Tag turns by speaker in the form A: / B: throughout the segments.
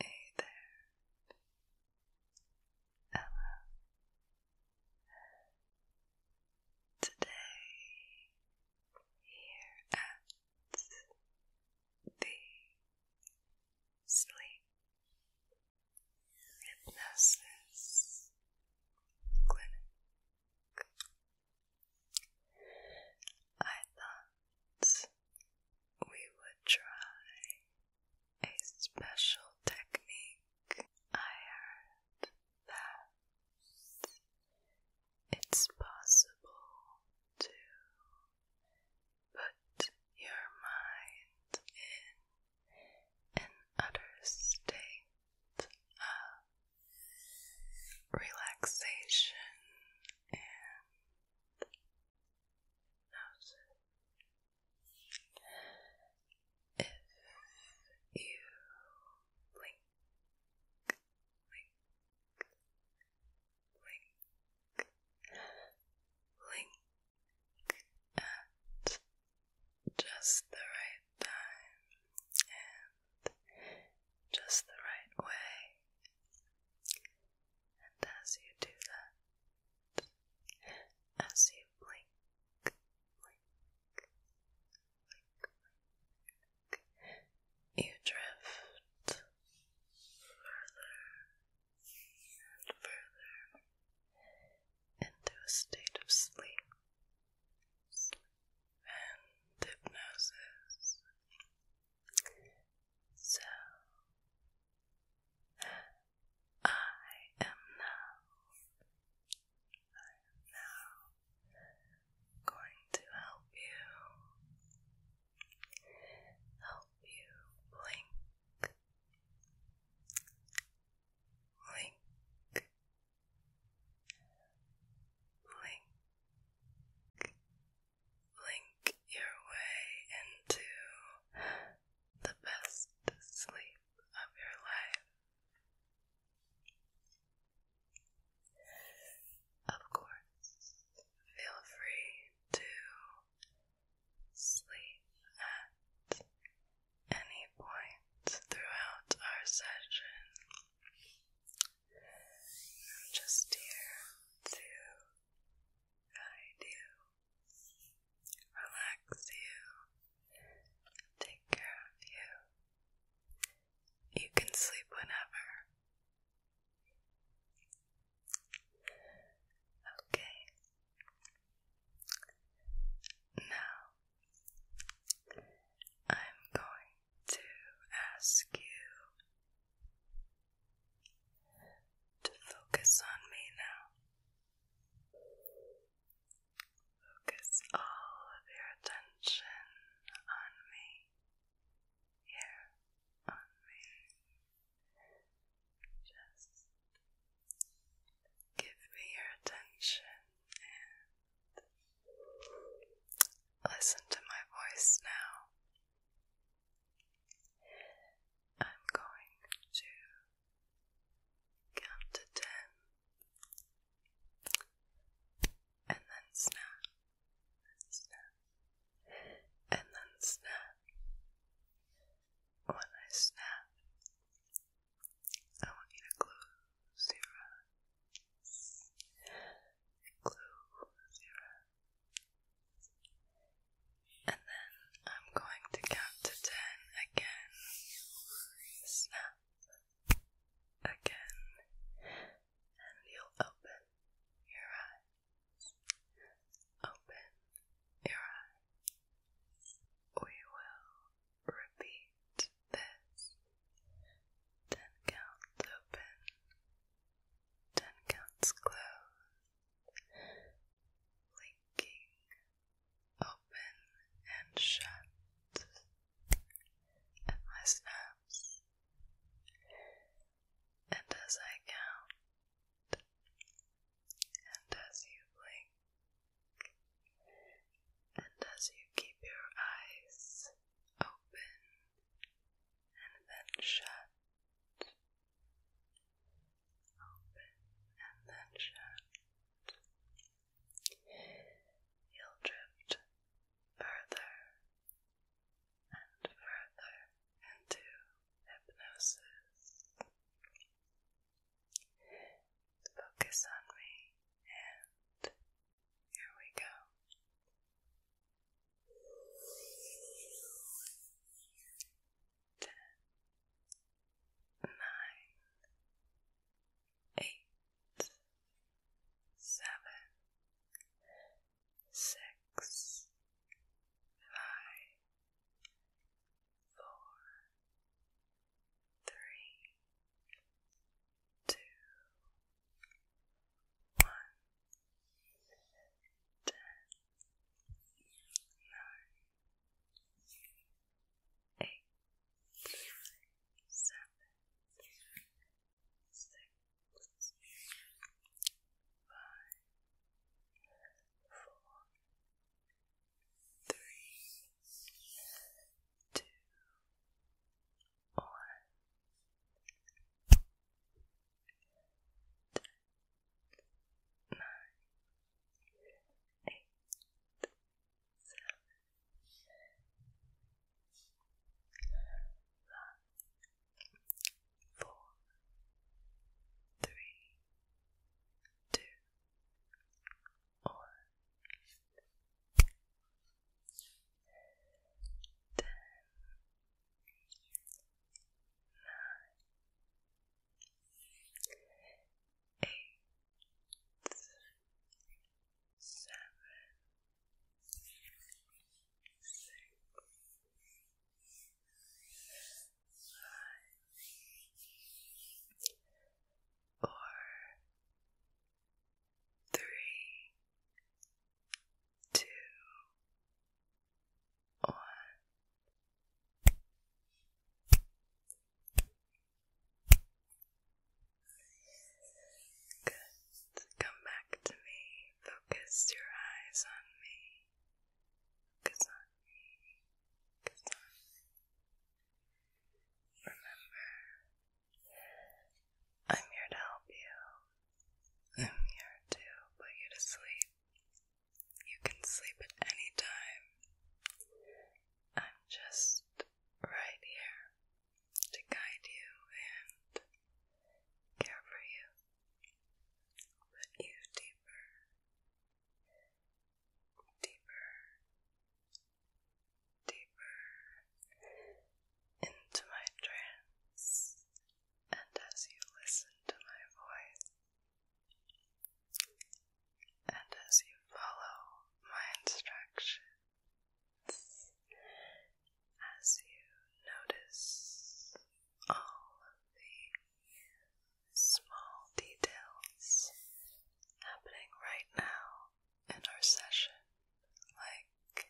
A: Hey there, hello. Today, here at the Sleep Hypnosis Clinic. I thought we would try a special technique. I heard that it's possible to put your mind in an utter state relaxation if you blink, blink, blink, blink at just the right time and just the right way. And as you do that, as you blink, blink, blink, blink, you drift further and further into a state of sleep and hypnosis. So, I am now, I am now going to help you, help you blink, blink, Link, link your way into the best sleep of your life. Of course, feel free to sleep at any point throughout our session. just here to guide you, relax you, take care of you. You can sleep whenever. Okay, now, I'm going to ask you to focus on me now. Focus all of your attention on me. Here, on me. Just give me your attention and listen to my voice now. I'm going to count to ten and then snap, snap, and then snap. When I snap, I want you to close your eyes. Close your eyes. And then I'm going to count to ten again. Snap. Again. And you'll open your eyes. Open your eyes. We will Repeat this. Ten counts open. Ten counts closed. Blinking. Open and shut. And my snaps. And as I count, and as you blink, and as you keep your eyes open and then shut, open and then shut, you'll drift further and further into hypnosis. Focus on me, and here we go. Ten, nine, eight, seven, six, five, four, three, two, one, ten, nine, eight, seven, six, five, four, three, two, one. Ten, nine, eight, seven, five, four, three, do or ten nine eight seven six or Good. Come back to me. Focus your eyes on me. Kazan, Kazan. Remember, I'm here to help you. I'm here to put you to sleep. You can sleep at any time. I'm just right here to guide you and care for you, put you deeper deeper, deeper into my trance, and as you listen to my voice, and as you follow my instructions, as you notice all of the small details happening right now in our session, like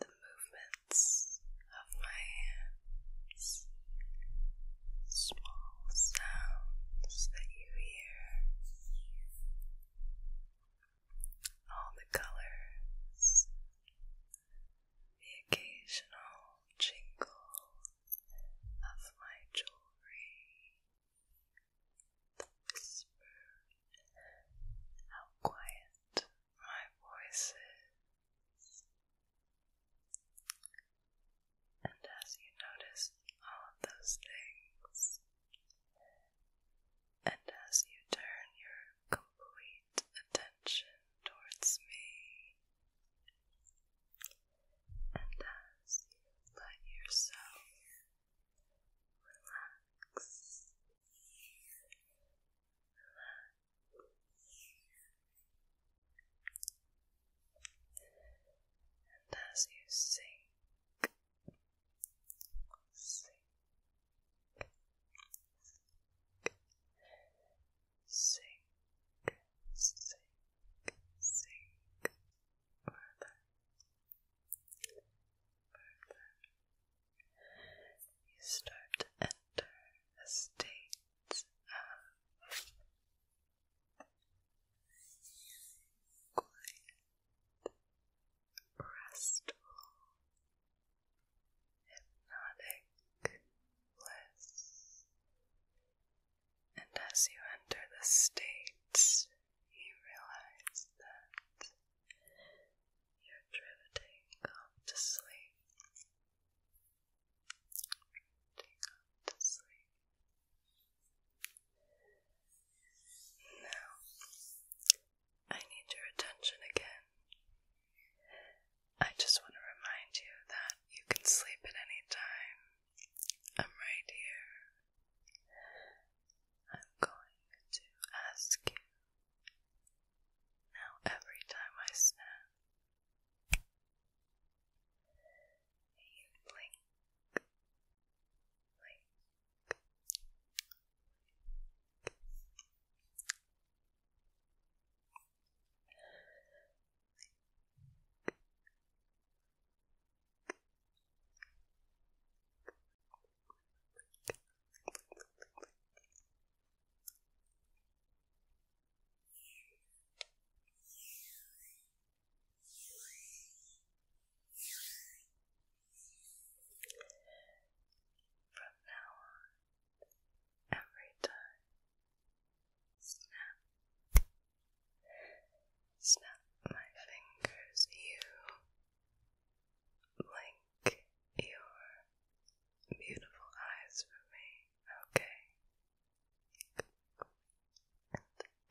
A: the movements of my hands, small sounds that you hear, all the colors, the occasional jingle of my jewelry, the whisper, how quiet my voice is. And as you notice all those things, and as you turn your complete attention towards me. And as you let yourself relax, and as you sink, sink, sink, sink further, further. You start to enter a state of restful hypnotic bliss. And as you enter the state, you realize that you're drifting off to sleep. Drifting off to sleep. Now, I need your attention again. I just want to remind you that you can sleep at any time. I'm right here. I'm going to ask you. Now, every time I snap, blink, blink, from now on, every time. Snap. Snap my fingers, you blink your beautiful eyes for me, okay?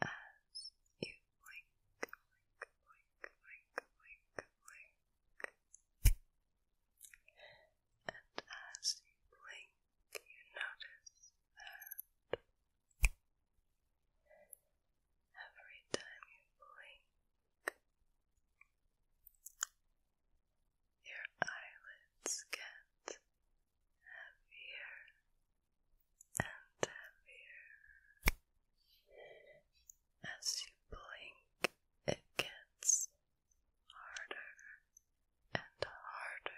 A: And you blink, blink, blink, blink, blink, blink, and as you blink, you notice that every time you blink, your eyelids get heavier and heavier as you blink it gets harder and harder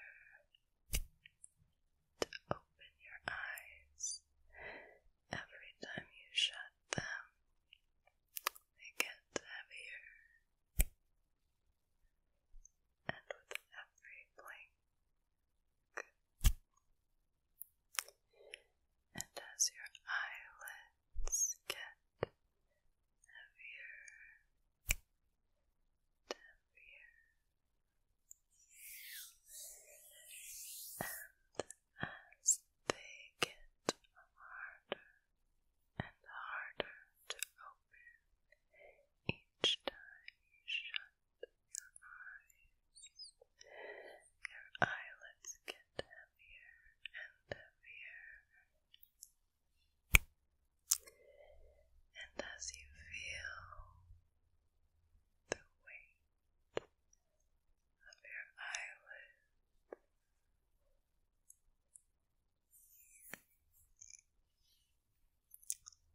A: open your eyes. Every time you shut them, they get heavier. And with every blink, and as your eyelids get heavier heavier, and as they get harder and harder to open each time you shut your eyes, your eyelids get heavier and heavier. And as you feel the weight of your eyelids,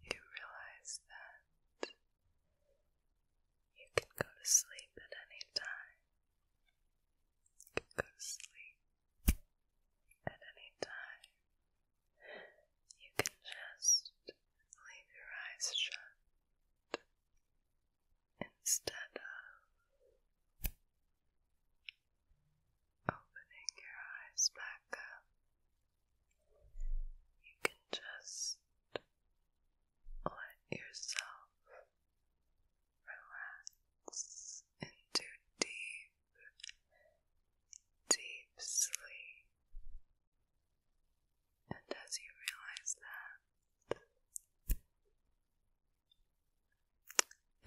A: you realize that you can go to sleep at any time. You can go sleep at any time. You can just leave your eyes shut instead of opening your eyes back up. You can just let yourself relax into deep, deep sleep. And as you realize that,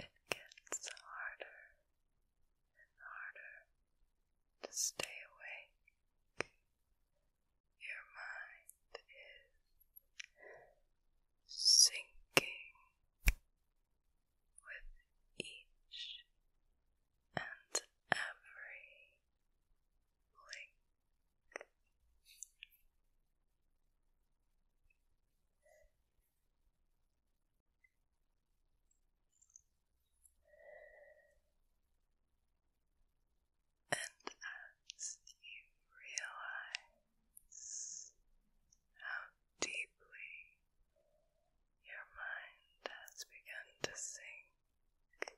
A: it gets harder and harder to stay awake your mind is sinking with each and every blink. And as you realize how deeply your mind has begun to sink,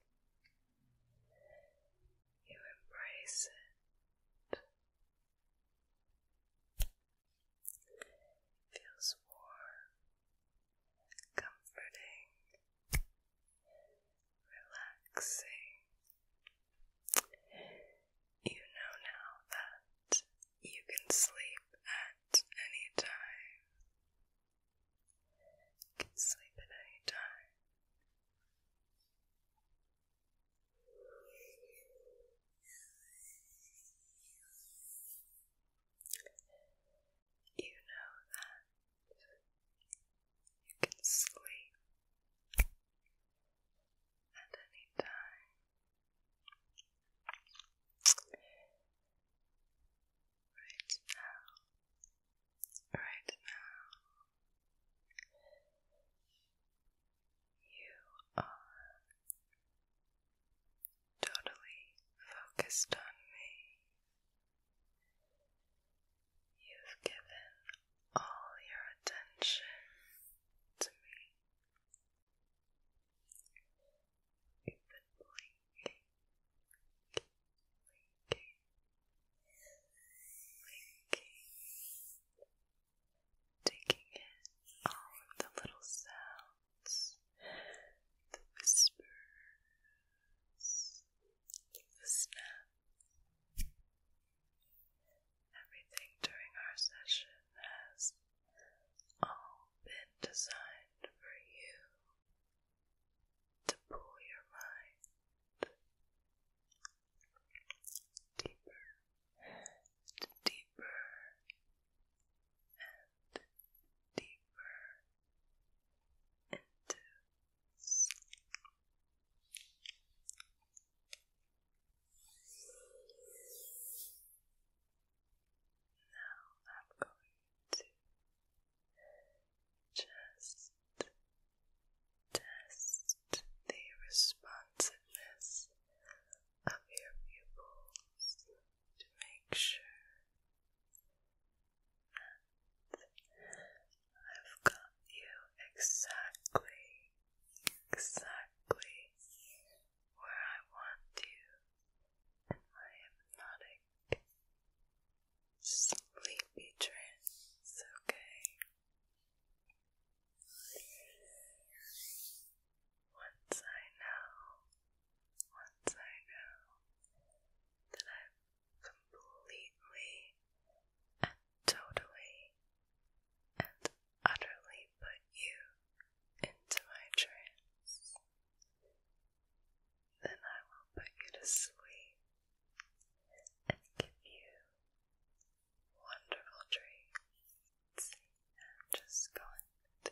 A: you embrace it. It feels warm, comforting, relaxing. You know now that you can sleep at any time. can sleep at any time. You know that you can sleep at any time. Right now, right now, you are totally focused on me. You've given all your attention to me. You've been blinking, blinking, blinking, taking in all of the little sounds, the whisper snap. Everything during our session has all been designed for you to pull your mind deeper and deeper and deeper and Now I'm going to just test the responsiveness of your pupils to make sure I've got you exactly, exactly where I want you in my hypnotic sleepy trance, okay? Once I know, once I know that i completely and totally and utterly put you into my trance, then I will put you to sleep and give you wonderful dreams. just go to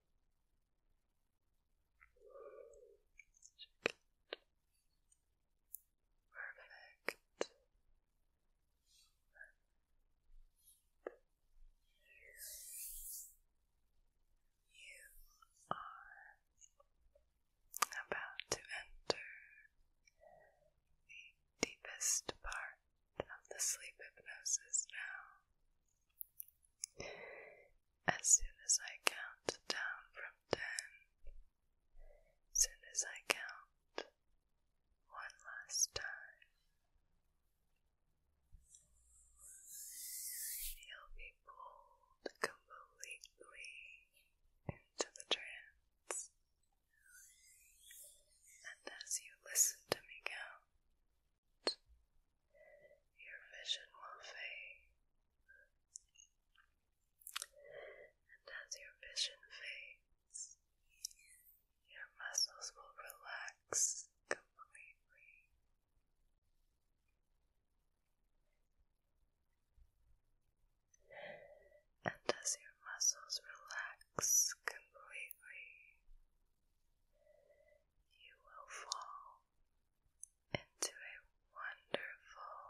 A: Perfect. You are about to enter the deepest part of the sleep hypnosis now. As soon as I count down from ten, as soon as I count one last time, you'll be pulled completely into the trance. And as you listen to me count, your vision will fade. And as your vision fades, your muscles will relax completely. And as your muscles relax completely, you will fall into a wonderful,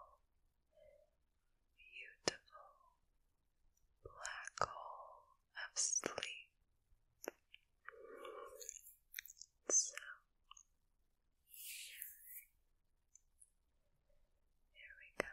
A: beautiful black hole of sleep. So, here we go.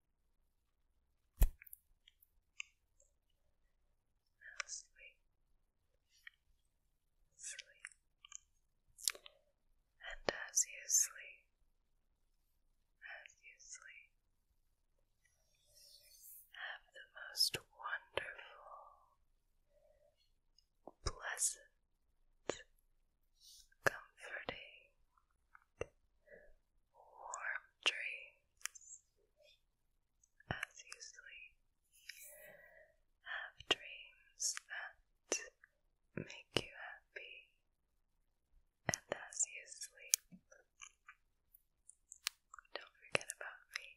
A: Now sleep, and as you sleep, as you sleep, have the most wonderful, pleasant, comforting, warm dreams as you sleep, have dreams that make you happy, and as you sleep, don't forget about me.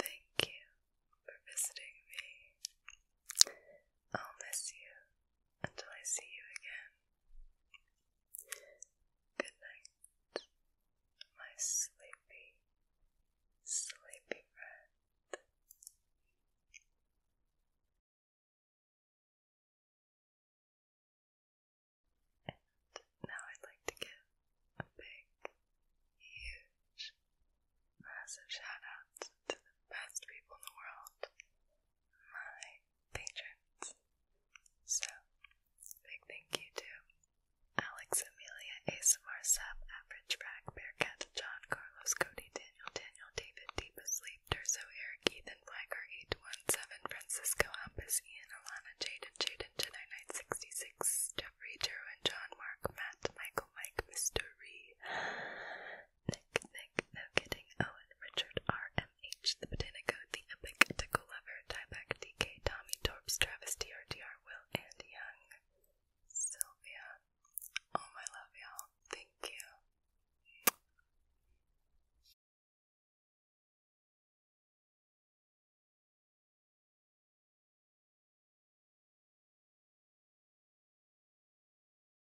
A: Thank you for visiting me. I'll miss you until I see you again. Good night, my sleepy, sleepy friend. And now I'd like to give a big, huge, massive shout out to the best people in the world my patrons. So, big thank you to Alex, Amelia, ASMR, Sub, Average Bragg, Bearcat, John, Carlos, Cody, Daniel, Daniel, David, Deep Asleep, Durso, Eric, Ethan, Weiger, 817, Francisco, Ampus, Ian, Alana, Jaden, Jaden, Jedi Knight 66, Jeffrey, Drew, and John, Mark, Matt, Michael, Mike, Mister Mystery, Nick, Nick, No Kidding, Owen, Richard, R, M, H, The Botanico, The Epic, Tickle Lover, Tyback, DK, Tommy, Torps, Travis, DRDR, Will, and Young, Sylvia. Oh, my love, y'all. Thank you.